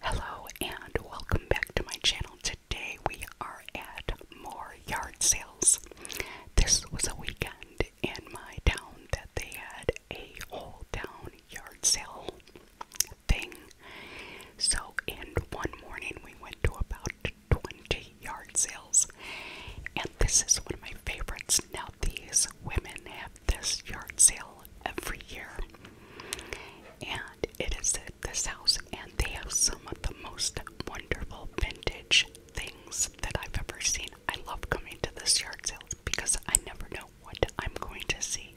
Hello and welcome back to my channel. Today we are at more yard sales. This was a weekend in my town that they had a whole town yard sale thing. So, in one morning, we went to about 20 yard sales. And this is one of my favorites. Now, these women have this yard sale every year. And it is this house, and they have some of the most wonderful vintage things that I've ever seen. I love coming to this yard sale because I never know what I'm going to see.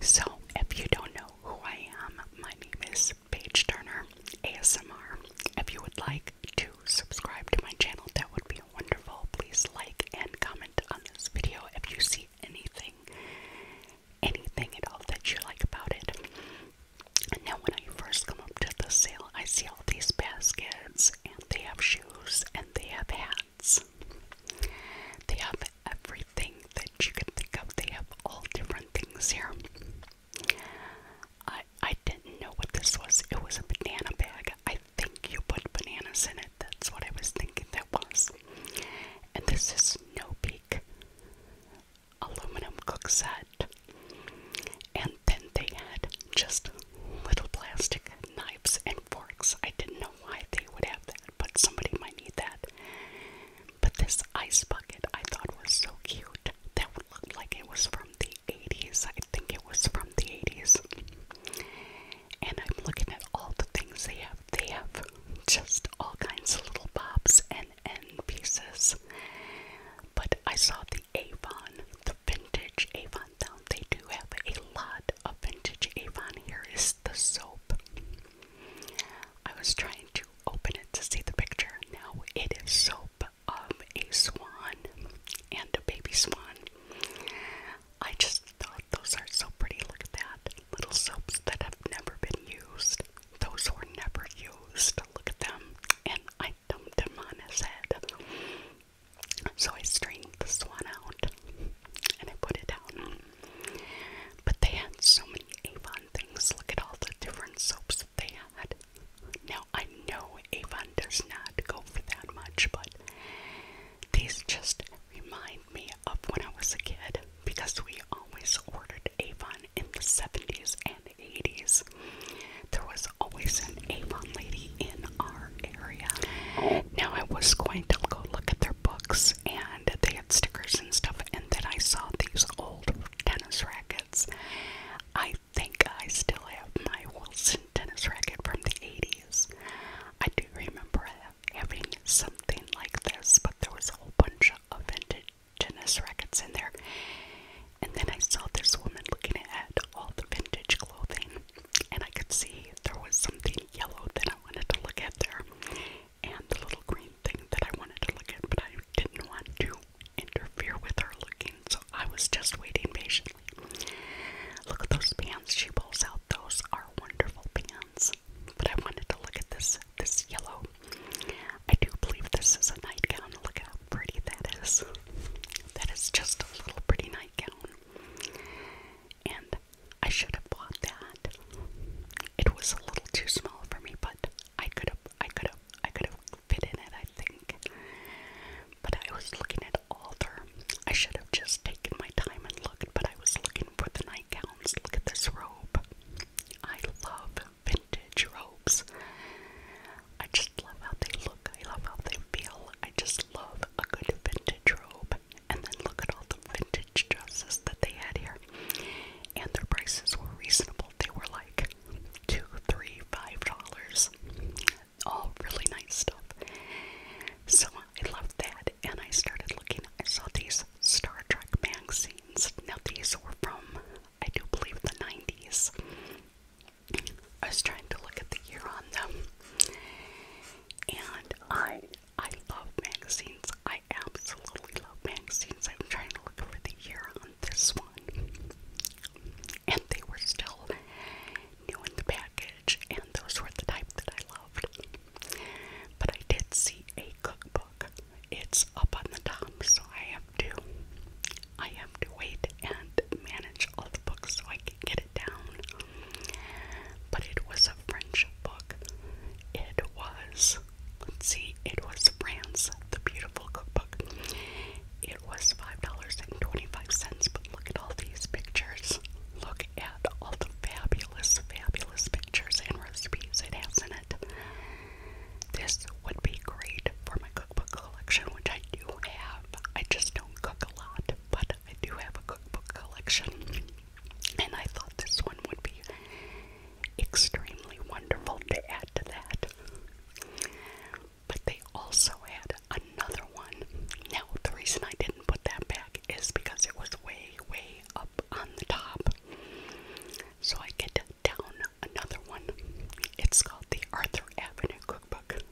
So, if you don't know who I am, my name is Paige Turner ASMR. If you would like to subscribe to my channel, that would be wonderful. Please like and comment on this video if you see anything anything, anything at all that you like about it. And now, when I first come up to the sale, I see all these baskets, and they have shoes, and they have hats. They have everything that you can think of. They have all different things here. I I didn't know what this was. It was a banana bag. I think you put bananas in that's what I was thinking that was. And this is no Peak aluminum cook set. And then they had just little plastic knives and forks. I didn't know why they would have that, but somebody might need that. But this ice bucket I thought was so cute. That looked like it was from the 80s. I think it was from the 80s and I'm looking at all the things they have. They have just all kinds of little bobs and end pieces. But I saw the Avon, the vintage Avon down. They do have a lot of vintage Avon. Here is the soap. I was trying to open it to see the picture. Now it is soap of a swan and a baby swan. I just thought those are so pretty. Look at that. Little soaps that have never been used. Those were never used. Look at them. And I dumped them on his head. So I strained this one out and I put it down. But they had so many Avon things. Look at all the different soaps that they had. Now I know Avon does not go for that much, but these just remind me of when I was a kid because we always ordered Avon in the 70s and 80s. There was always an Avon lady in our area. Now I was going to go look at their books and they had stickers and stuff, and then I saw these old tennis rackets. I think I still have my Wilson tennis racket from the 80s. I do remember it having something like this, but there was a whole bunch of vintage tennis rackets in there. And then I saw this woman looking at all the vintage clothing, and I could see there was something yellow that I wanted to look at there, and the little green thing that I wanted to look at, but I didn't want to interfere with her looking, so I was just waiting patiently. Look at those pants she pulls out, those are wonderful pants but I wanted to look at this this yellow. I do believe this is a nightgown. Look how pretty that is. That is just a little pretty nightgown. And I should have bought that. It was a little too small for me, but I could have I could have I could have fit in it, I think. But I was looking at Alder. I should have just taken my time and looked, but I was looking for the nightgown. Look at this robe. I love vintage robes. I just love how they look. I love how they feel. I just love a good vintage robe. And then look at all the vintage dresses that they had here. And their prices were reasonable. They were like two, three, five dollars. All really nice stuff. So I loved that. And I started looking. I saw these Star Trek magazines. Now, these were from, I do believe, the 90s. I was trying to look at the year on them. And I I love magazines. I absolutely love magazines. I'm trying to look for the year on this one. And they were still new in the package, and those were the type that I loved. But I did see a cookbook. It's up on the top, so I have to I have to wait and manage all the books so I can get it down. But it was a French book. It was let see, it was France, the beautiful cookbook. It was five dollars and twenty-five cents, but look at all these pictures. Look at all the fabulous, fabulous pictures and recipes it has in it. This would be great for my cookbook collection, which I do have. I just don't cook a lot, but I do have a cookbook collection. And I thought this one would be extremely wonderful to add to that. But they also had another one. Now, the reason I didn't put that back is because it was way, way up on the top. So I get down another one. It's called the Arthur Avenue Cookbook.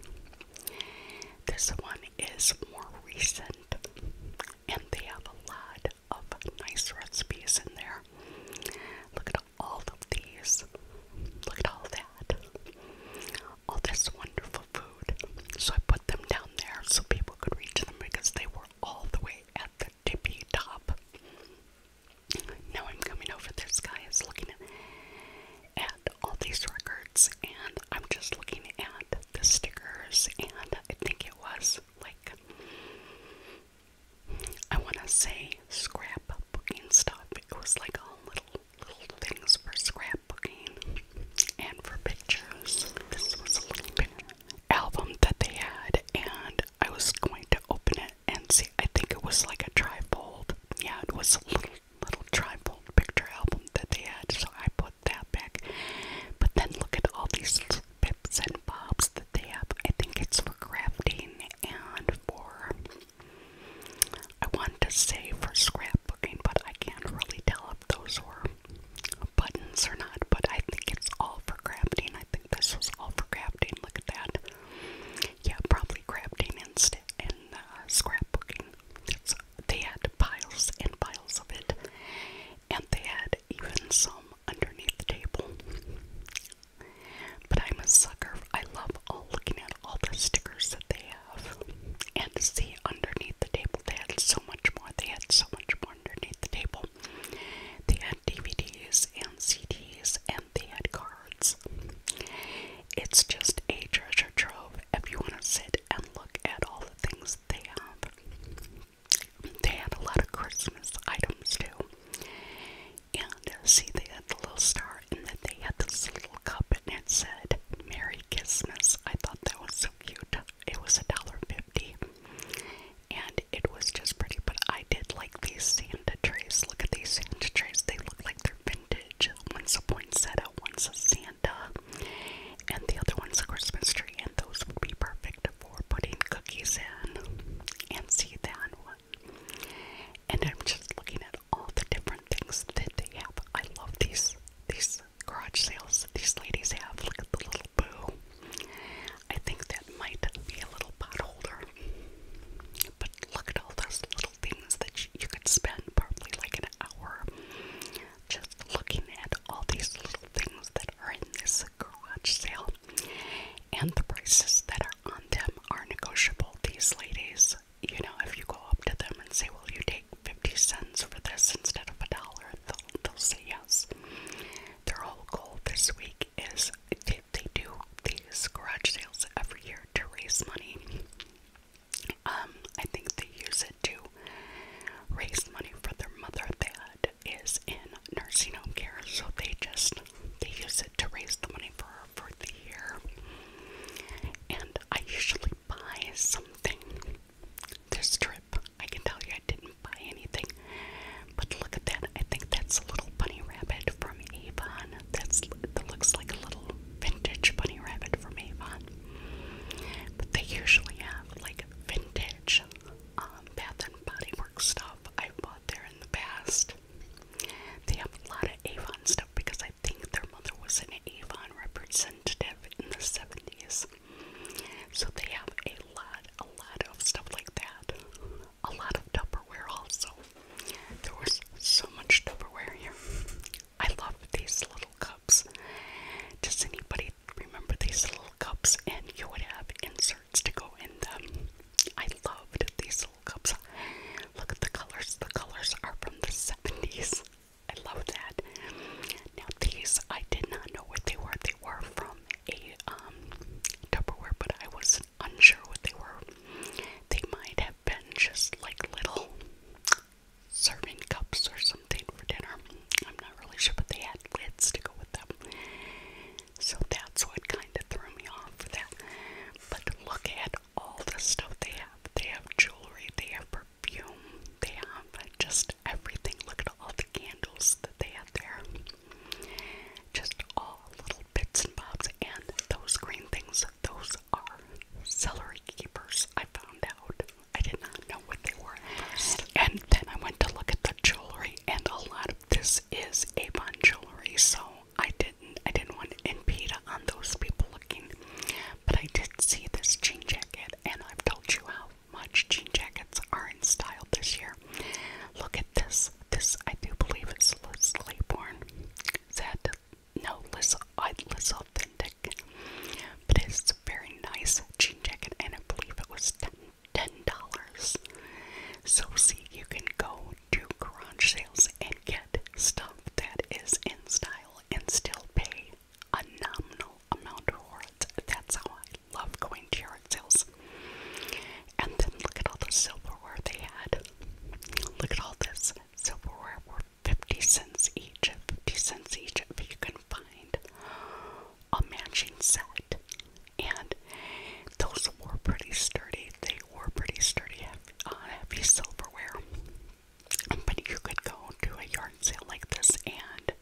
This one is more recent, and they have a lot of nice recipes in there. Look at all of these. Look at all that. All this wonderful food. So I put them down there so people could reach them because they were all the way at the tippy top. Now I'm coming over, this guy is looking at, all these records, and I'm just looking at the stickers, and I think it was like, I want to say scrapbooking stuff. It was like all little, little things for scrapbooking and for pictures. This was a little picture album that they had, and I was going to open it and see. I think it was like a trifold. Yeah, it was a little little trifold picture album that they had, so I put that back. But then look at all these pips and bobs that they have. I think it's for crafting and for I wanted to say for scrapbooking, but I can't really tell if those were buttons or not, but I think it's all for crafting. I think this was all for crafting. Look at that. Yeah, probably crafting instead and uh, scrapbooking. It's, they had piles and piles of it, and they had even some underneath the table. But I'm a sucker. I love all looking at all the stickers that they have, and see underneath the table they had so much more. They had so much more underneath the table. They had DVDs and CDs and they had cards. It's just a treasure trove if you want to sit and look at all the things they have. They had a lot of Christmas items too. And see, they had the little star, and then they had this little cup, and it said, Merry Christmas. I thought that was so cute it was a dollar fifty, and it was just pretty. But I did like these Santa trees. Look at these Santa trees. they look like they're vintage. One's a point poinsettia, one's a Santa, and the other one's a Christmas tree. And those would be perfect for putting cookies in. And see that one. And I'm just looking at all the different things that they have. I love these these garage sales that these ladies have. Look at the little little boo. I think that might be a little pot holder. But look at all those little things that you could spend probably like an hour just looking at all these little things that are in this garage sale. And the prices that are on them are negotiable. These ladies, you know, if you go up to them and say, Will you take 50 cents for this instead of a dollar? They'll, they'll say yes. Their whole goal this week is they, they do these garage sales every year to raise money. Um, I think they use it to raise money for their mother that is in nursing home care. So they just they use it to raise the money for her for the year. And I usually buy something this trip. I can tell you I didn't buy anything. But look at that. I think that's a little bunny rabbit from Avon. That's that looks like a little vintage bunny rabbit from Avon. But they usually have like vintage um, Bath and Body Works stuff. I've bought there in the past. They have a lot of Avon stuff because I think their mother was an Avon representative in the 70s. So they have a lot, a lot of stuff like that. A lot of Tupperware also. There was so much Tupperware here. I love these little cups. Does anybody remember these little cups? And you would have inserts to go in them. I loved these little cups. Look at the colors. The colors are from the 70s. I love that. Now, these I did not know what they were. They were from from a um, Tupperware, but I was unsure what they were. They might have been just like little serving cups or something for dinner. I'm not really sure, but they had lids to go with them. So that's what kind of threw me off for that. But look at all the stuff they have. They have jewelry, they have perfume, they have just just everything. Look at all the candles that they had there. Just all little bits and bobs. And those green things, those are celery keepers. I found out. I did not know what they were first. And then I went to look at the jewelry, and a lot of this is Avon jewelry. So I didn't, I didn't want to impede on those people looking. But I did see this jean jacket, and I've told you how much jean jackets are in style this year. Look at this. This, I do believe, is Liz Claiborne. Said, no, Liz, I, uh, Liz Authentic. But it's a very nice jean jacket, and I believe it was $10. $10. So, see, you can go to garage sales and get stuff that is in style and still pay a nominal amount for it. That's how I love going to yard sales. And then look at all the silverware they had. Look at all this silverware for 50 cents each, 50 cents each. If you can find a matching set. And those were pretty sturdy. They were pretty sturdy, heavy, uh, heavy silverware. But you could go to a yard sale like this and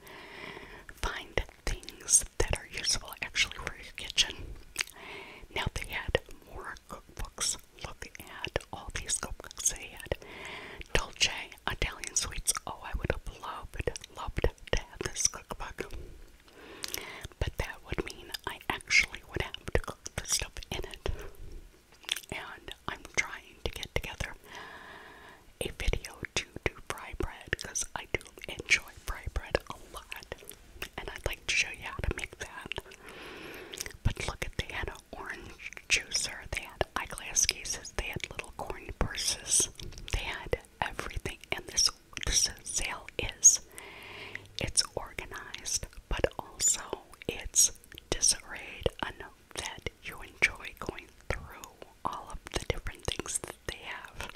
find things that are useful actually for your kitchen. Now they had more cookbooks. Look at all these cookbooks they had. Dolce Italian sweets. Oh, I would have loved, loved to have this cookbook. But that would mean I actually would have to cook the stuff in it. And I'm trying to get together a video to do fry bread I do enjoy fry bread a lot, and I'd like to show you how to make that. But look at they had an orange juicer, they had eyeglass cases, they had little corn purses, they had everything. And this sale is it's organized, but also it's disarrayed enough that you enjoy going through all of the different things that they have.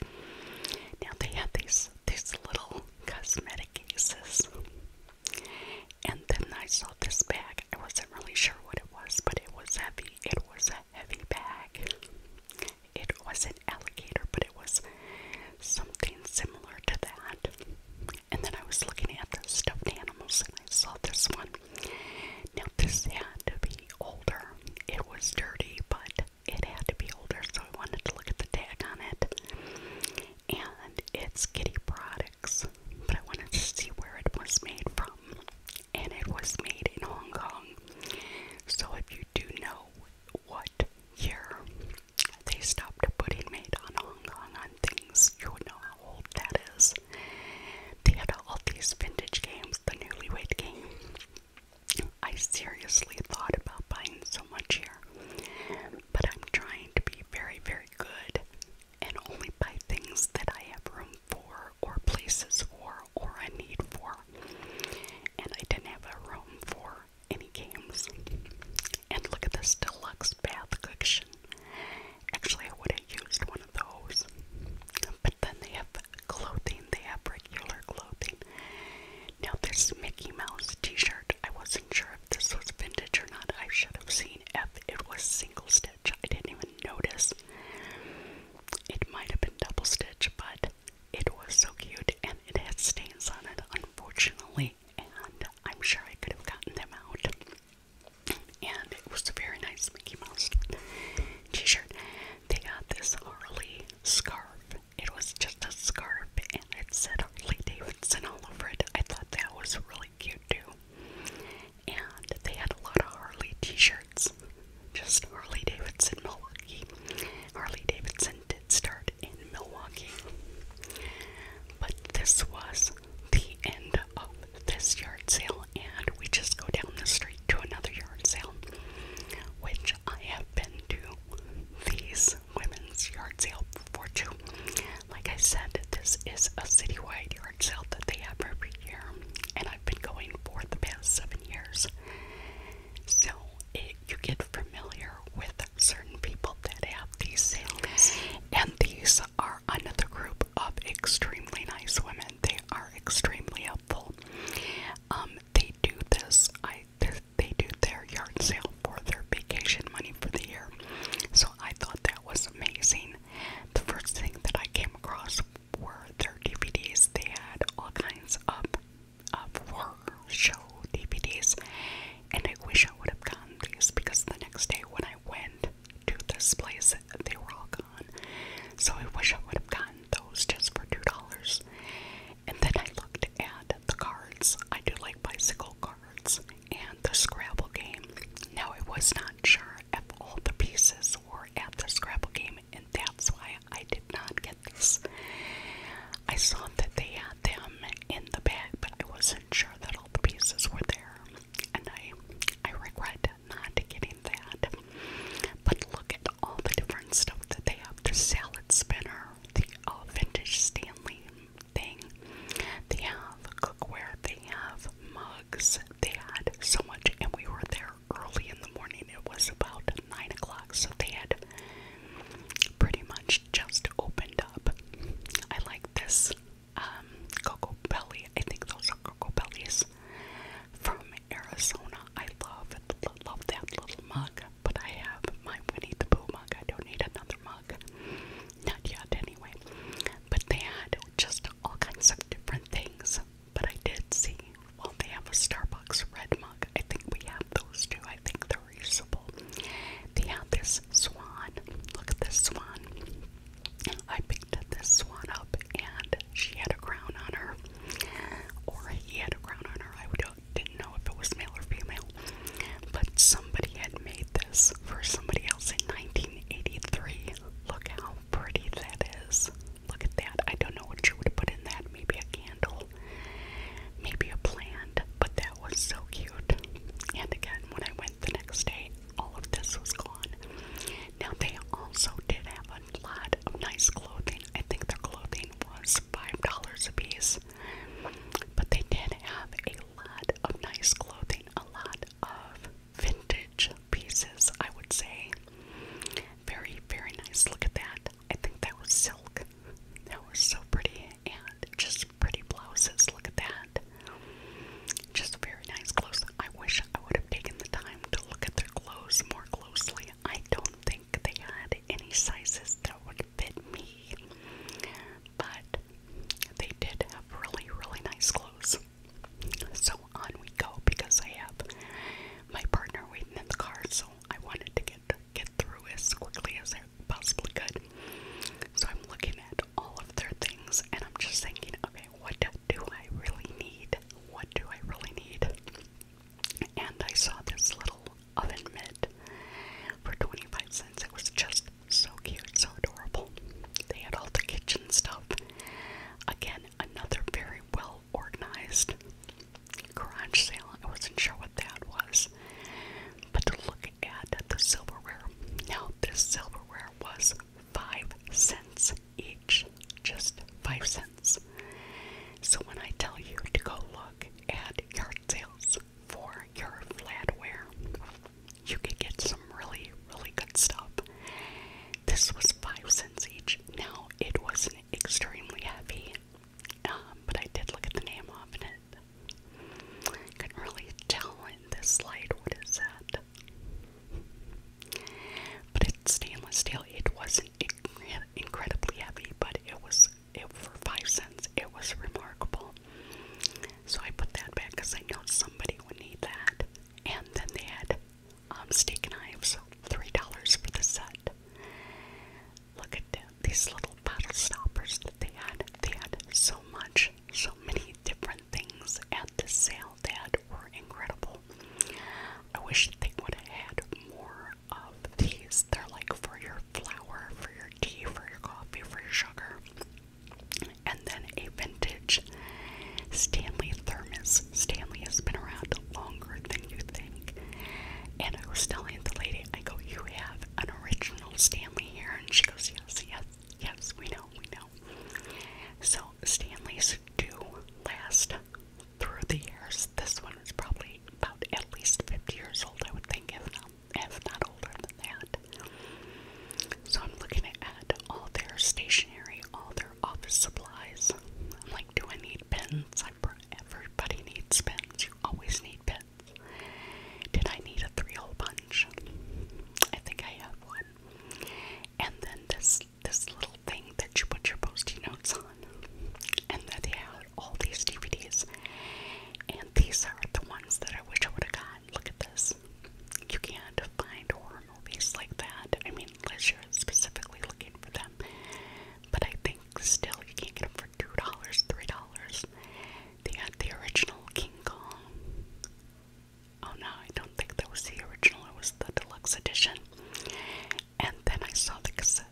Now they have these these little cosmetic cases. And then I saw this bag. I wasn't really sure what it was, but it was heavy. It was a heavy bag. It wasn't alligator, but it was something similar to that. And then I was looking at the stuffed animals and I saw this one. Now, this had to be older. It was dirty, but it had to be older, so I wanted to look at the tag on it. And it's Kitty Products, but I wanted to see where it was made from. And it was made in Hong Kong. So if you do know what year they stopped putting made on Hong Kong on things, you would know how old that is. They had all these vintage games, the newlywed game, I seriously thought about buying so much here, but I'm trying to be very, very good and only buy things that I have room for, or places for, or a need for. And I didn't have a room for any games. And look at this deluxe bath cushion. Actually, I would have used one of those then they have clothing, they have regular clothing. Now, this Mickey Mouse t shirt, I wasn't sure if this was vintage or not. I should have seen if it was single stitch, I didn't even notice. It might have been double stitch, but it was so cute and it had stains on it, unfortunately. And I'm sure I could have gotten them out. And it was a very nice Mickey Mouse t shirt. They got this Harley scarf. It was just a scarf and it said Harley Davidson all over it. I thought that was really cute too. And they had a lot of Harley t shirts. Just Harley Davidson Milwaukee. Harley Davidson did start in Milwaukee. But this was the end of this yard sale, and we just go down the street to another yard sale, which I have I've been to these women's yard sale before too. Like I said, this is a citywide yard sale that they have every year, and I've been going for the past seven years. So it, you get familiar with certain people that have these sales, and these are another group of extremely nice women. They are extremely helpful. Um, they do this. I they do their yard sale for their vacation money for the year. So I thought that was amazing. The first thing that I came across were their DVDs. They had all kinds of of horror show DVDs, and I wish I would have gotten these because the next day when I went to this place, they were all gone. So I wish I would have gotten those just for two dollars. And then I looked at the cards. I do like bicycle cards and the Scrabble game. Now, I was not sure if all the pieces were at the Scrabble game, and that's why I did not get this. I saw that they had them in the bag, but I wasn't sure that all the pieces were there. And I, I regret not getting that. But look at all the different stuff that they have the salad spinner, the uh, vintage Stanley thing. They have cookware, they have mugs. They had so much, and we were there early in the morning. It was about 9 o'clock, so they had pretty much just opened up. I like this um, Cocoa Belly. I think those are Cocoa Bellies from Arizona. I love love that little mug, but I have my Winnie the Pooh mug. I don't need another mug, not yet anyway. But they had just all kinds of different things. But I did see, well, they have a Starbucks red mug. I think we have those too. I think they're reusable. They have this swan. Look at this swan. I picked this swan up, and she had a crown on her, or he had a crown on her. I would didn't know if it was male or female, but somebody had made this for somebody else in 1983. Look how pretty that is. Look at that. I don't know what you would put in that. Maybe a candle, maybe a plant, but that was so cute. And again, when I went the next day, all of this was gone. Now, they also did have a lot of nice clothing. I think their clothing was $5 a piece. But they did have a lot of nice clothing, a lot of vintage pieces, I would say. Very, very nice. Look at that. I think that was silk. That was so pretty. And just pretty blouses. Look at that. Just very nice clothes. I wish I would have taken the time to look at their clothes more closely. I don't think they had any sizes that would fit me, but they did have really, really nice clothes. So on we go because I have my partner waiting in the car, so I wanted to get get through as quickly as I possibly could. So I'm looking at all of their things and I'm just thinking, okay, what do I really need? What do I really need? And I saw this little oven mitt for 25 cents. It was just so cute, so adorable. They had all the kitchen stuff. Again, another very well organized garage sale. I wasn't sure what that was. But to look at the silverware, now this silverware was 5 cents each. Just 5 cents. So when I tell you to go look at yard sales for your flatware, you could get some really, really good stuff. This was five cents each. Now it wasn't extremely heavy, um, but I did look at the name of it. Couldn't really tell in this light what is that. But it's stainless steel. It wasn't incredibly heavy, but it was it for five cents. It was remarkable. So I put that back because I know somebody would need that. And then they had um, steak knives, three dollars for the set. Look at these little bottle stoppers that they had. They had so much, so many different things at the sale that were incredible. I wish they would have had more of these. They're like for your flour, for your tea, for your coffee, for your sugar. And then a vintage Stanley thermos. Stanley has been around longer than you think. And I was telling the lady, I go, You have an original Stanley here? And she goes, Yes, yes, yes, we know, we know. So Stanleys do last through the years. This one is probably about at least 50 years old, I would think, if not, if not older than that. So I'm looking at all their stationery, all their office supplies. I'm like, do I need pens? I, everybody needs pens. You always need pens. Did I need a three-hole punch? I think I have one. And then this this little thing that you put your post-it notes on. And then they have all these DVDs, and these are the ones that I wish I would have gotten. Look at this. You can't find horror movies like that. I mean, unless you're specifically looking for them. But I think still you can get them for two dollars, three dollars. They had the original King Kong. Oh no, I don't think that was the original. It was the deluxe edition. And then I saw the cassette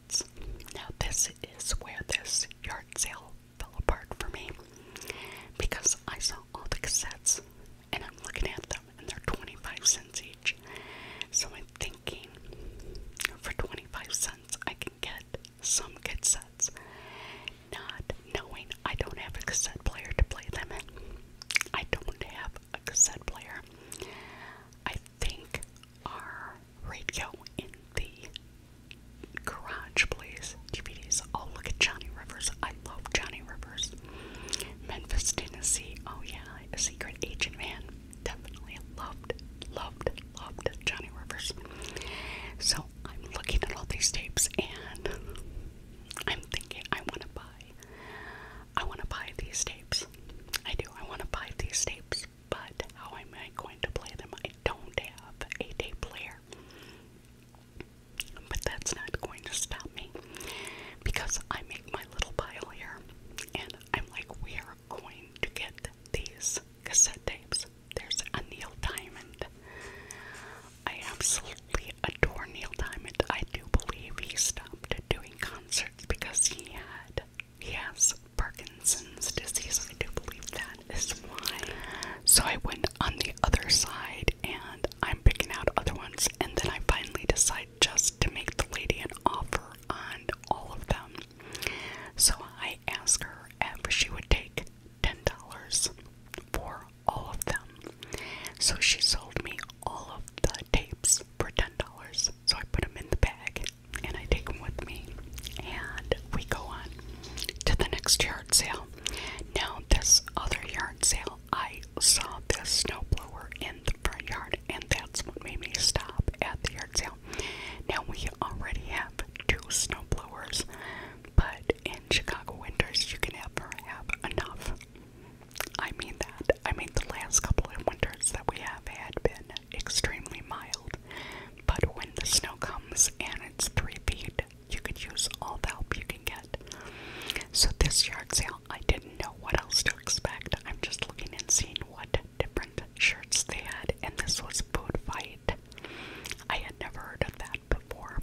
now, this is where this yard sale fell apart for me because I saw all the cassettes and I'm looking at them and they're 25 cents each. So I'm thinking for 25 cents I can get some good sets, not knowing I don't have a cassette player to play them in. I don't have a cassette player. I think our radio in the garage, please. DVDs. Oh, look at Johnny Rivers. I love Johnny Rivers. Memphis, Tennessee. Oh, yeah. secret agent man. Definitely loved, loved, loved Johnny Rivers. So I'm looking at all these tapes and I'm thinking I want to buy. I want to buy these tapes. I do. I want to buy these tapes. But how am I going to play them? I don't have a day player. But that's not going to stop me because I make my little pile here and I'm like, we are going to get these cassette tapes. There's Neil Diamond. I absolutely adore Neil Diamond. I do believe he stopped doing concerts because he had yes. Parkinson's disease. I do believe that is why. So I went on the other side and I'm picking out other ones, and then I finally decide just to make the lady an offer on all of them. So I asked her if she would take $10 for all of them. So she sold me all of the tapes for $10. So I put them in the bag and I take them with me, and we go on to the next yard sale. Now, this other yard sale, I saw this snowblower in the front yard, and that's what made me stop at the yard sale. Now, we already have two snowblowers, but in Chicago winters, you can never have enough. I mean that. I mean, the last couple of winters that we have had been extremely mild. But when the snow comes and it's three feet, you could use all the help you can get. So this yard sale, I didn't know what else to expect. I'm just looking and seeing what different shirts they had, and this was Food Fight. I had never heard of that before.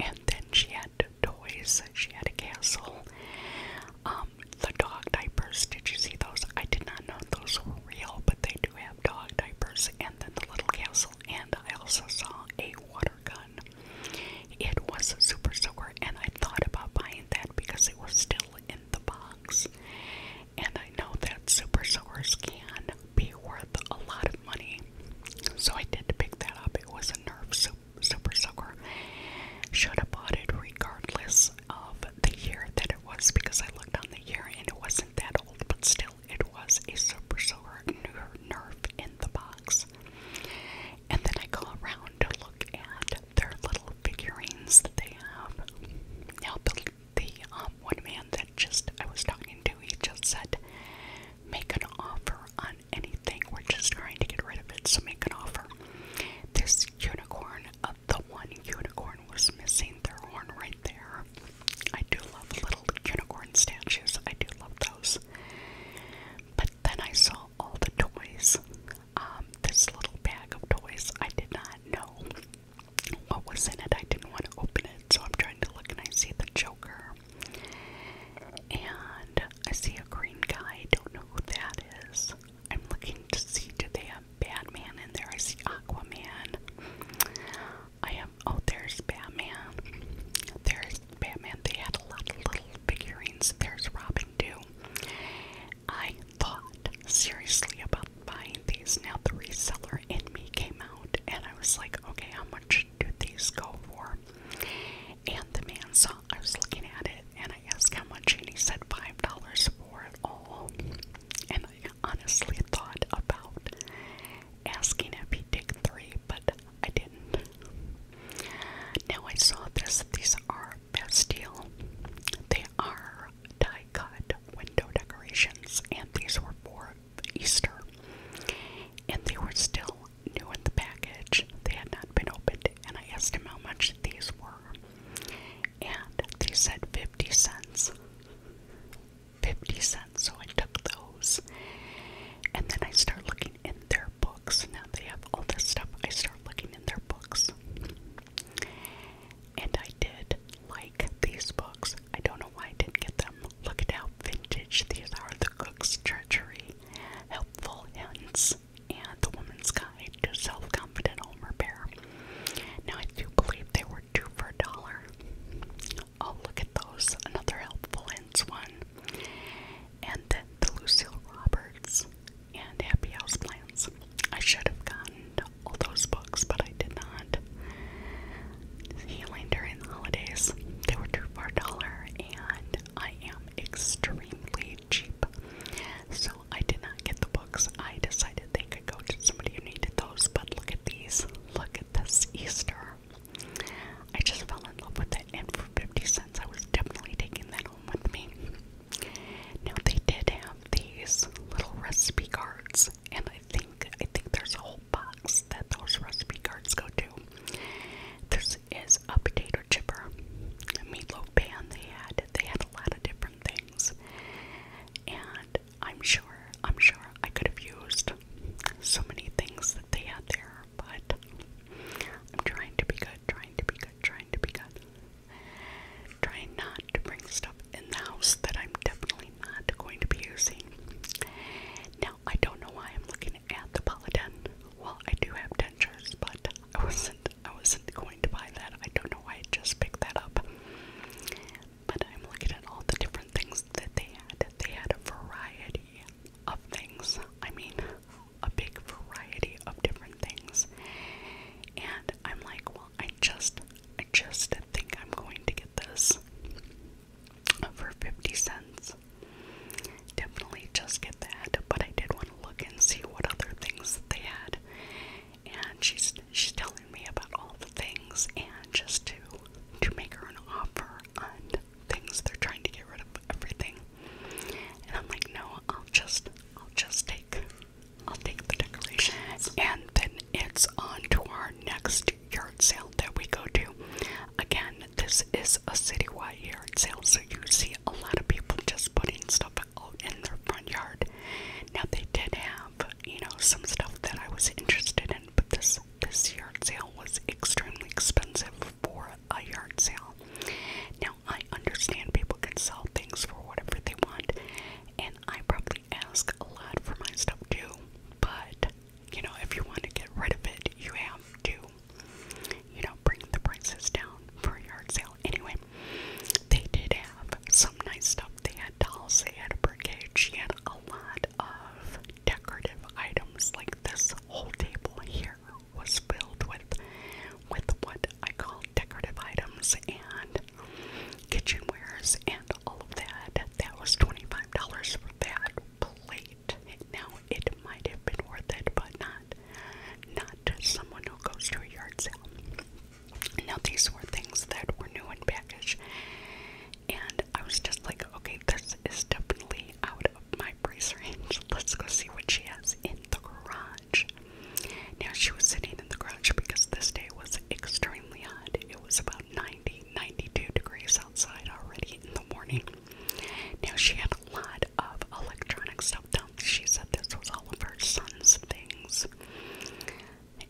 And then she had toys. She had a castle. Um, the dog diapers. Did you see those? I did not know those real, but they do have dog diapers and then the little castle. And I also saw a water gun. It was a super soaker, and I thought about buying that because it was still in the box. And I know that super soakers can be worth a lot of money, so I did pick that up. It was a Nerf super soaker. Should have bought it regardless of the year that it was because I looked on the year and it wasn't that old, but still, it was a super sore nerve in the box. And then I go around to look at their little figurines that they have. Now, the, the um, one man that just I was talking to, he just said, Make an offer on anything. We're just trying to get rid of it, so make an offer. This unicorn of the one unicorn was missing their horn right there. I do love little unicorn statues, I do love those. But then I saw all the toys. Um, this little bag of toys, I did not know what was in it. I didn't want to open it, so I'm trying to look and I see the Joker. And I see a green guy, I don't know who that is. I'm looking to see do they have Batman in there? I see Aquaman. I am oh there's Batman. There's Batman. They had a lot of little figurines. There's Robin too. I thought seriously about buying these. Now the reseller in me came out and I was like, okay, how much do these go for? And the man saw I was looking at it and I asked how much he said five dollars for it all and I honestly thought about asking if he did three, but I didn't. Now I saw this. These are Bastille. They are die-cut window decorations, and these were for Easter. And they were still new in the package. They had not been opened, and I asked him how much these were and they said 50 cents. 50 cents, so I took those. And then I start looking in their books. Now they have all this stuff. I start looking in their books. And I did like these books. I don't know why I didn't get them. Look at how vintage these are The Cook's Treachery, Helpful Hints, and The Woman's Guide to Self Confident Home Repair. Now, I do believe they were two for a dollar. Oh, look at those. Another helpful hints one. And then the Lucille Roberts and Happy House Plants. I should have gotten all those books, but I did not. Healing during the holidays. They were two for a dollar, and I am extremely cheap. So I did not get the books. I decided they could go to somebody who needed those, but look at these. Look at this Easter. I just fell in love with it, and for 50 cents, I was definitely taking that home with me. Now, they did have these little recipe cards, and I think, I think there's a whole box that those recipe cards go to. This is a potato chipper, a meatloaf pan they had. They had a lot of different things. And I'm sure, I'm sure I could have used so many things that they had there, but I'm trying to be good, trying to be good, trying to be good. Trying not to bring stuff in the house that I'm definitely not going to be using. Now, I don't know why I'm looking at the Paladin. Well, I do have dentures, but I wasn't I wasn't going to buy that. I don't know why I just picked that up. But I'm looking at all the different things that they had. They had a variety of things. I mean, a big variety of different things. And I'm like, well, I just, I just think I'm going to get this for 50 cents. Definitely just get that. But I did want to look and see what other things they had. And she's she's telling me about all the things and just to to make her an offer on things they're trying to get rid of everything. And I'm like, no, I'll just I'll just take I'll take the decorations. And then it's on to our next yard sale that we go to. Again, this is a citywide yard sale, so you see a lot of people just putting stuff out in their front yard. Now they did have have, you know, some stuff that I was interested in, but this this yard sale was extremely expensive for a yard sale. Now I understand people can sell things for whatever they want, and I probably ask a lot for my stuff too. But you know, if you want to get rid of it, you have to, you know, bring the prices down for a yard sale. Anyway, they did have some nice stuff shop. They had dolls, they had a brigade, she had a lot of decorative items. Like this whole table here was filled with with what I call decorative items and kitchenwares and all of that. That was $25 for that plate. Now it might have been worth it, but not not to someone who goes to a yard sale. Now, these were things that were new in package, and I was just like, okay, this is definitely out of my price range. Let's go see what she has in the garage. Now, she was sitting in the garage because this day was extremely hot. It was about 90, 92 degrees outside already in the morning. Now, she had a lot of electronic stuff down. She said this was all of her son's things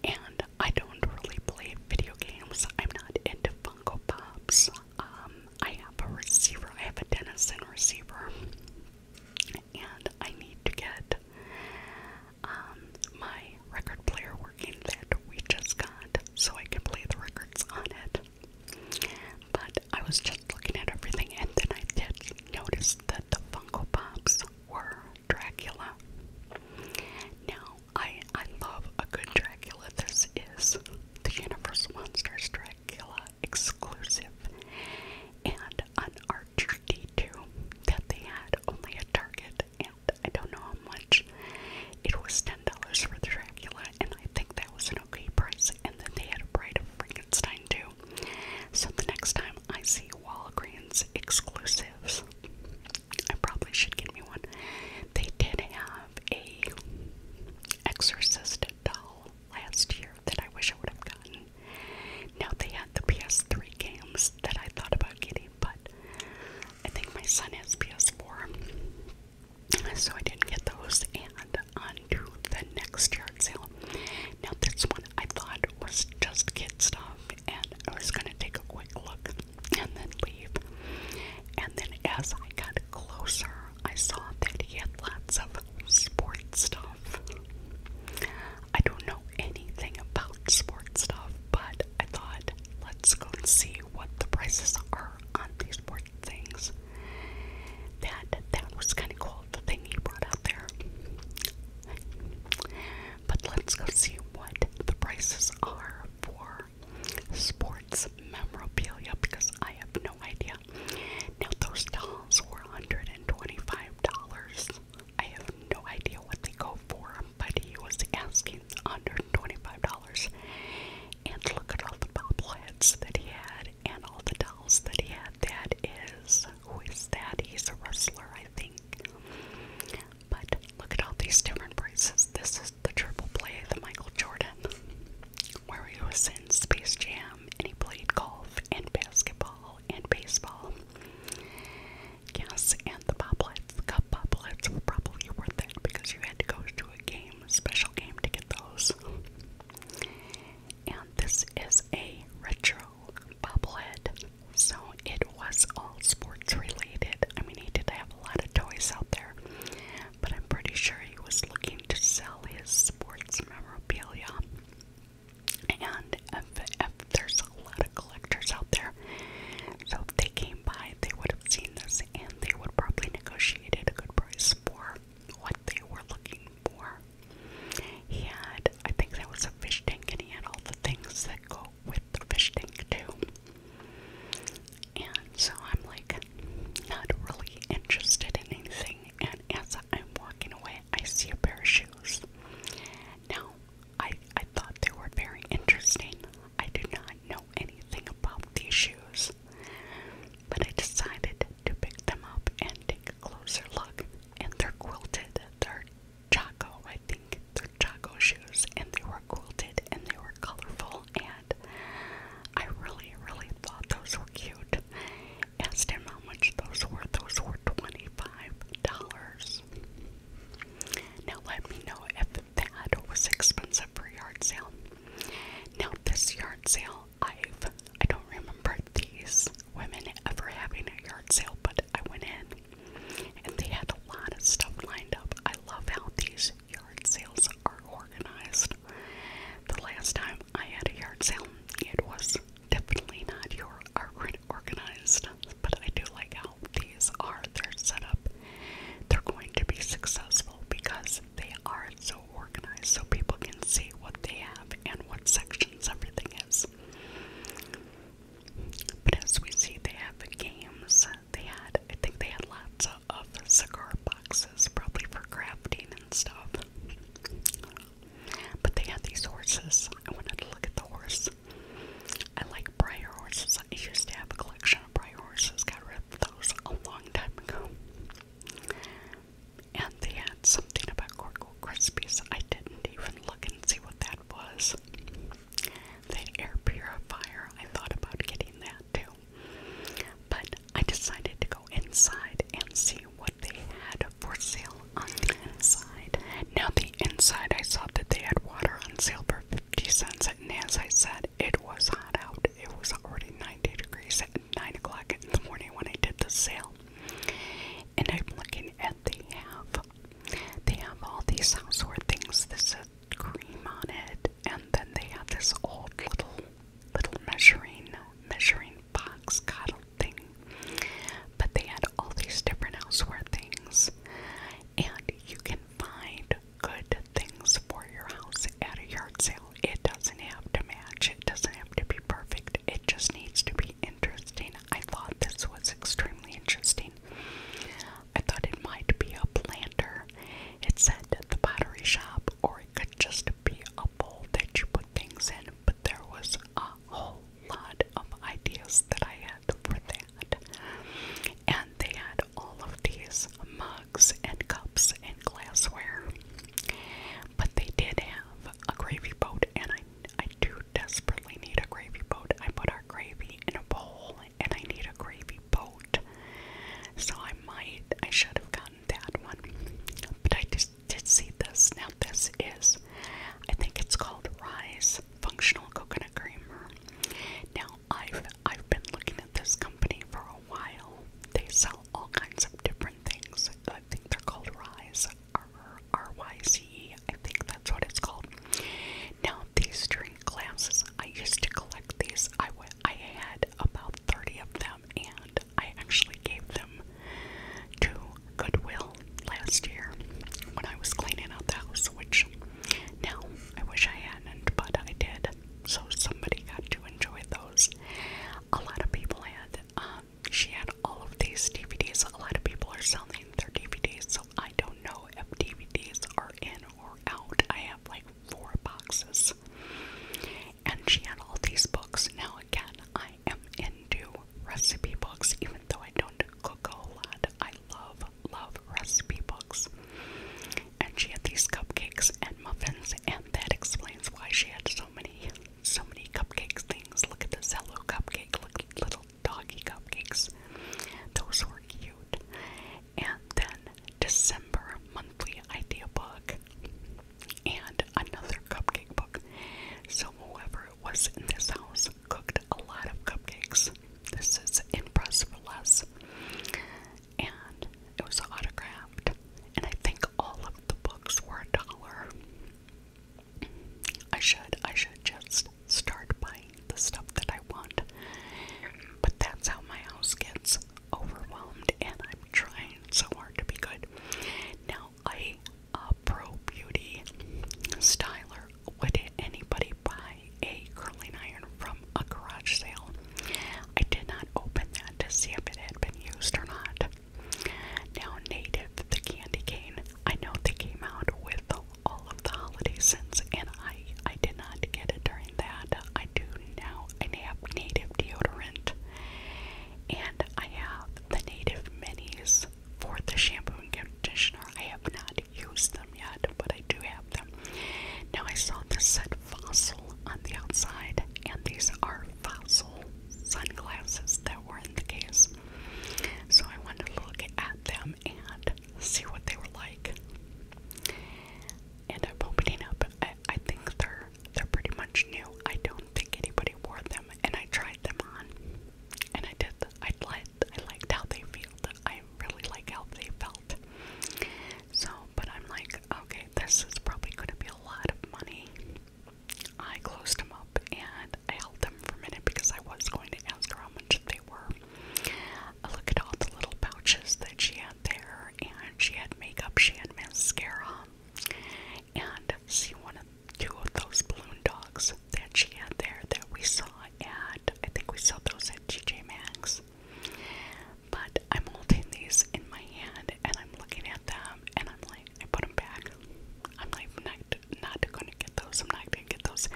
and I don't really play video games. I'm not into Funko Pops. Um, I have a receiver. I have a Denison receiver, and I need to get um, my record player working that we just got so I can play the records on it. But I was just looking at everything, and then I did notice that the Funko Pops were Dracula. Now, I, I love a good Dracula. This is the Universal Monsters Dracula exclusive and an Archer d that they had only at Target, and I don't know how much. It was $10 for the Dracula, and I think that was an okay price. And then they had a Bride of Frankenstein too. So the next time I see Walgreens exclusives, I probably should get me one. They did have a Exorcist doll last year that I wish I would have gotten. Now they had the PS3 games that I thought about getting, but I think my son has PS4. So I didn't get those and on to the next yard sale. Now this one I thought was just kid stuff and I was going to take a quick look and then leave. And then as I got closer, I saw that he had lots of sports stuff. I don't know anything about sports stuff, but I thought, let's go and see what the prices are on these sports things. That that was kind of cool, the thing he brought out there. But let's go see what the prices are for sports memorabilia because I have no idea. Now, those dolls were $125. I have no idea what they go for, but he was asking $125. And look at all the bobbleheads that he had and all the dolls that he had. That is, who is that? He's a wrestler, I think. But look at all these different prices. This is the triple play, the Michael Jordan, where he was in Space Jam and he played golf and basketball and baseball. Yes, and the poplets, the cup poplets were probably worth it because you had to go to a game, special game to get those. And this is a retro bobblehead so it was all sports related. I mean, he did have a lot of toys out there, but I'm pretty sure he was looking to sell his sports memorabilia. And if, if there's a lot of collectors out there, so if they came by, they would have seen this and they would probably negotiate a good price for what they were looking for. He had, I think that was a fish tank, and he had all the things that go with the fish tank too. And so I'm like not really interested in anything. And as I'm walking away, I see a pair of shoes. Now, I, I thought they were very interesting. I do not know anything about these shoes, but I decided to pick them up and take a closer look. And they're quilted, they're Chaco, I think they're Chaco shoes, and they were quilted and they were colorful, and I really, really thought those were cute. Asked him how much those were, those were $25. Now, let me know if that was expensive for yard sale. Now, this yard sale, I've I don't remember these women ever having a yard sale, but I went in and they had a lot of stuff lined up. I love how these yard sales are organized. The last time I had a yard sale, it was definitely not your organized, but I do like how these are. They're set up. They're going to be successful because they are so organized, so people can see what they have and what sections everything is. But as we see, they have games. They had, I think they had lots of, of cigar boxes, probably for crafting and stuff. But they had these horses. I wanted to look at the horse. I like briar horses. I used to have a collection of briar horses. Got rid of those a long time ago. And they had something about Corkle Krispies. I didn't even look and see what that was the air purifier. I thought about getting that too. But I decided to go inside and see what they had for sale on the inside. Now, the inside, I saw that they had water on sale for 50 cents, and as I said, it was hot out. It was already 90 degrees at 9 o'clock in the morning when I did the sale. And I'm looking at they have, they have all these household things. This is cream on it, and then they had this old little little measuring measuring box cuddle thing. But they had all these different houseware things, and you can find good things for your house at a yard sale. It doesn't have to match. It doesn't have to be perfect. It just needs to be interesting. I thought this was extremely interesting mine. I thought it might be a planter. It said at the pottery shop, or it could just be a bowl that you put things in, but there was a whole lot of ideas that I had for that. And they had all of these mugs and cups and glassware. But they did have a gravy boat, and I, I do desperately need a gravy boat. I put our gravy in a bowl and I need a gravy boat. So I might, I should have gotten that one. But I just did see this. Now, this is, I think it's called Rise Functional Coconut Creamer. Now, I've, I've been looking at this company for a while. They sell all kinds of different things. I think they're called Rise, R-Y-Z-E. I think that's what it's called. Now, these three glasses. I used to collect these. I had about 30 of them, and I actually gave them to Goodwill last year when I was cleaning out the house, which now I wish I hadn't, but I did. So somebody got to enjoy those. A lot of people had. Uh, she had all of these DVDs. A lot of people are selling their DVDs, I don't know if DVDs are in or out. I have like four boxes. And she had all these books. Now, again, I am into recipe books, even though I don't cook a lot. I love, love recipe books. And she had these cupcakes and muffins, and that explains why she had so many, so many cupcakes things. Look at this yellow cupcake, look, little doggy cupcakes. Those were cute. And then December monthly idea book and another cupcake book. So whoever was in this house cooked a lot of cupcakes. This is in for Less. And it was autographed. And I think all of the books were a dollar. I should I should just start buying the stuff that I want. But that's how my house gets overwhelmed, and I'm trying so hard to be good. Now, I pro beauty styler. Would anybody buy a curling iron from a garage sale? I did not open that to see if it had been used or not. Now, Native, the candy cane. I know they came out with all of the holiday scents, and I I did not get it during that. I do now. I have native deodorant, and I have the native minis for the shampoo and conditioner. I have not used them yet, but I do have them. Now I saw this said fossil on the outside, and these are fossil sunglasses that were in the case. So I wanted to look at them and see what they were like. And I'm opening up. I, I think they're they're pretty much new. I don't think anybody wore them, and I tried them on, and I did. I liked I liked how they felt. I really like how they felt. So, but I'm like, okay, this is probably going to be a lot of money. I closed them up and I held them for a minute because I was going to ask her how much they were. Look at all the little pouches that she had there, and she had makeup, she had mascara, and see one of two of those balloon dogs that she had there that we saw at I think we saw those at TJ Maxx. But I'm holding these in my hand and I'm looking at them and I'm like, I put them back. I'm like, I'm not, not gonna get those. I'm not gonna get those.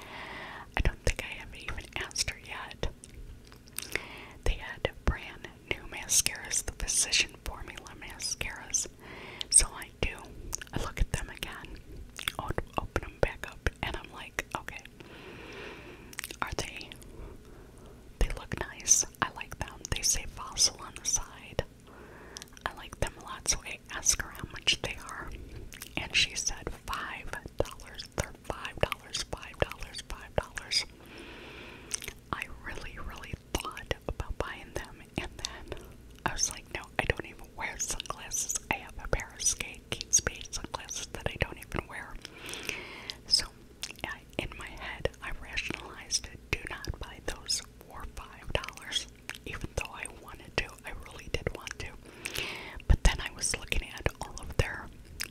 I don't think I have even asked her yet they had brand new mascaras, the Physician Formula mascaras. So I do. I look at them again, i open them back up, and I'm like, okay, are they? They look nice. I like them. They say fossil on the side. I like them a lot, so I ask her how much they are, and she said five dollars. They're five dollars, five dollars, five dollars. I really, really thought about buying them, and then I was like, no, I don't even wear sunglasses. I have a pair of skate Kate Spade sunglasses that I don't even wear. So, in my head, I rationalized Do not buy those for five dollars. Even though I wanted to, I really did want to. But then I was looking at all of their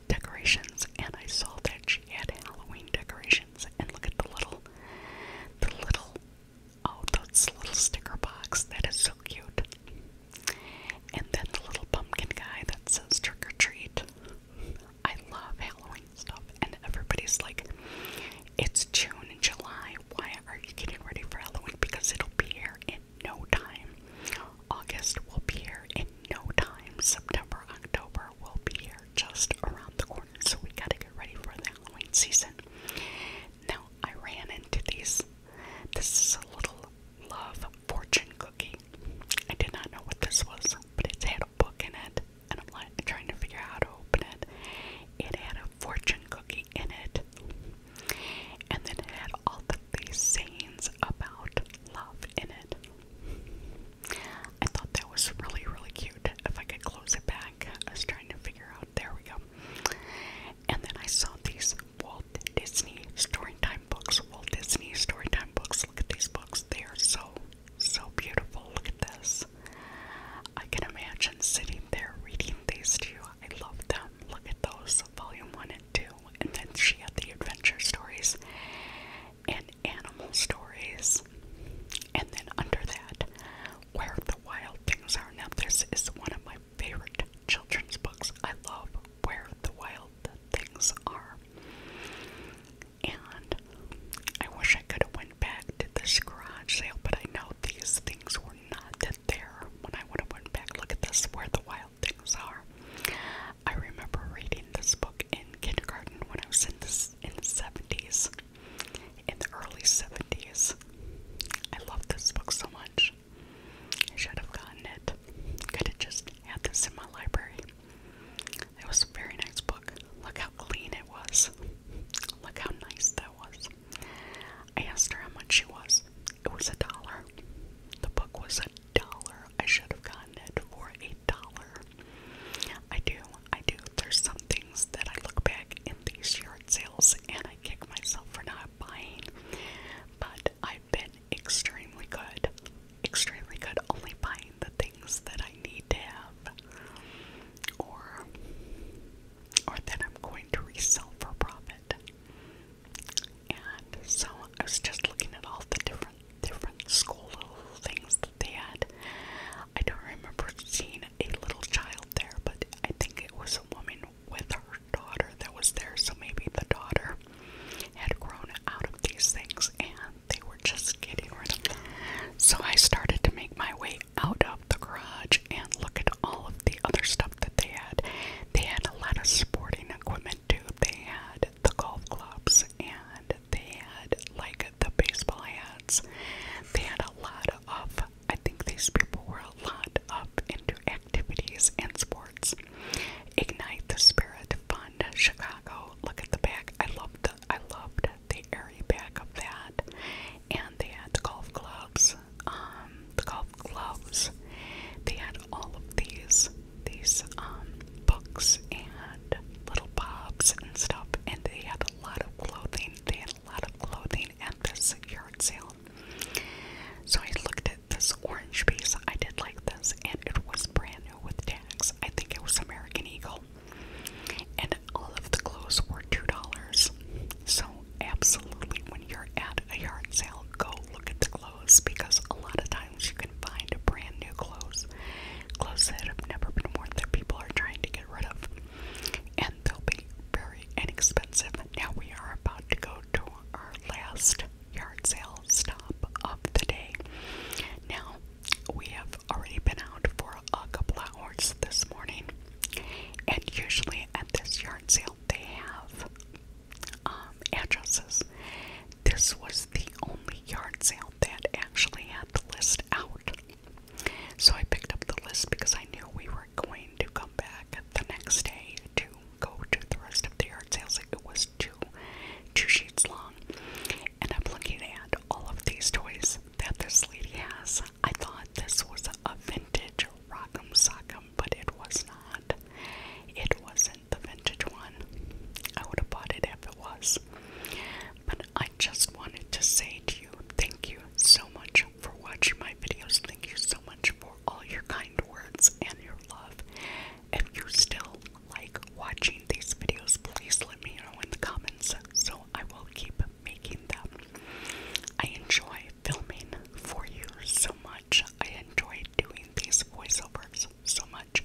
decorations and I saw that she had Halloween decorations and look at the little the little oh that's little sticker box that is so cute. And then the little pumpkin guy that says trick or treat. I love Halloween stuff and everybody's like it's June and July. Why are you getting ready for Halloween? Because it'll be here in no time. August will be here in no time. September, October will be here just around the corner. So we gotta get ready for the Halloween season. Now I ran into these. This is a little love fortune cookie. I did not know what this was, but it had a book in it, and I'm trying to figure out how to open it. It had a fortune cookie in it and then it had all these sayings about love in it. I thought that was really, really cute. If I could close it back, I was trying to figure out. There we go. And then I saw these Walt Disney Storytime books. Walt Disney Storytime books. Look at these books. They are so, so beautiful. Look at this. I can imagine sitting there reading these to you. I love them look at those, volume one and two. And then she had the adventure stories and animal stories. And then under that, Where the Wild Things Are. Now, this is one of my favorite children's books. I love Where the Wild Things Are. And I wish I could have went back to this garage sale, but I know these things were not that there when I would have went back. Look at this, Where the Wild things are. I remember reading this book in kindergarten when I was in this in the 70s, in the early 70s. I love this book so much. I should have gotten it. Could have just had this in my library. It was a very nice book. Look how clean it was. Look how nice that was. I asked her how much she was. It was a dollar. The book was a dollar. I should have gotten it for a dollar. I do, I do. There's some things that I look back in these yard sales and I kick myself for not buying. But I've been extremely good, extremely good, only buying the things that I need to have, or or that I'm going to resell for profit. And so I was just looking at all the different different school little things that they had. I don't remember seeing a little child there, but I think it was a woman with her daughter that was there, so maybe the daughter had grown out of these things and they were just getting rid of them. So I started to make my way out of the garage and look at all of the other stuff that they had. They had a lot of sporting equipment too. They had the golf clubs and they had like the baseball hats. They had a lot of, I think these people were a lot up into activities and sports. Ignite the Spirit Fund Chicago. Look at the back. I loved the, I loved the airy back of that. And they had the golf clubs. Um, the golf gloves. They had all of these these um books and little bobs and stuff and they had a lot of clothing. They had a lot of clothing at this yard sale. So I looked at this orange piece. I did like this and it was brand new with tags. I think it was American Eagle. And all of the clothes were $2. So absolutely when you're at a yard sale, go look at the clothes because a lot of times you can find brand new clothes, clothes that have never been worn that people are trying to get rid of, and they'll be very inexpensive. Now we are about to go to our last yard sale stop of the day. Now we have already been out for a couple hours this morning, and usually at this yard sale they have um, addresses. This was the only yard sale that actually had the list out. So I picked up the list because I knew we were going to come back the next day to go to the rest of the yard sales. It was two, two sheets long. And I'm looking at all of these toys that this lady has. I thought this was a vintage Rock'em Sock'em, but it was not. It was the vintage one. I would have bought it if it was. But I just wanted to say to you, thank you so much for watching my videos. Thank you so much for all your kind words and your love. If you still like watching these videos, please let me know in the comments so I will keep making them. I enjoy filming for you so much. I enjoy doing these voiceovers so much.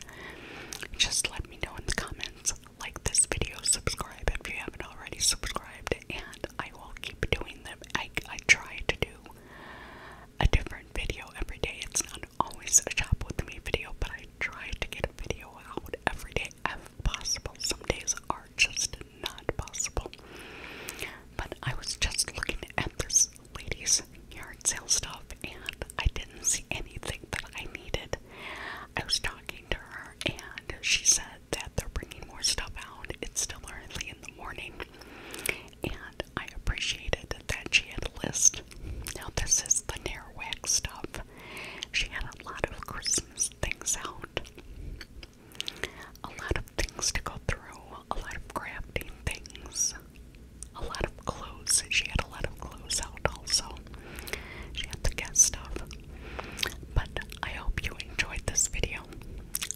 Just let me know in the comments. Like this video, subscribe if you haven't already subscribed, and I will keep doing them. I, I try to do a different video every day. It's not always a shop with me video, but I try to get a video out every day if possible. Some days are just not possible. But I was just looking at this ladies yard sale stuff and I didn't see anything that I needed. I was talking to her and she said that they're bringing more stuff out. It's still early in the morning. And I appreciated that she had a list. Now this is the Nairwag stuff. She had a lot of Christmas things out. A lot of things to go through, a lot of crafting things, a lot of clothes. She had a lot of clothes out also. She had to get stuff. But I hope you enjoyed this video.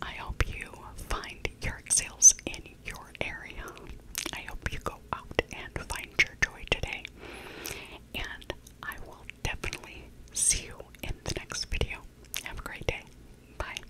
I hope you find yard sales in your area. I hope you go out and find your joy today. And I will definitely see you in the next video. Have a great day. Bye.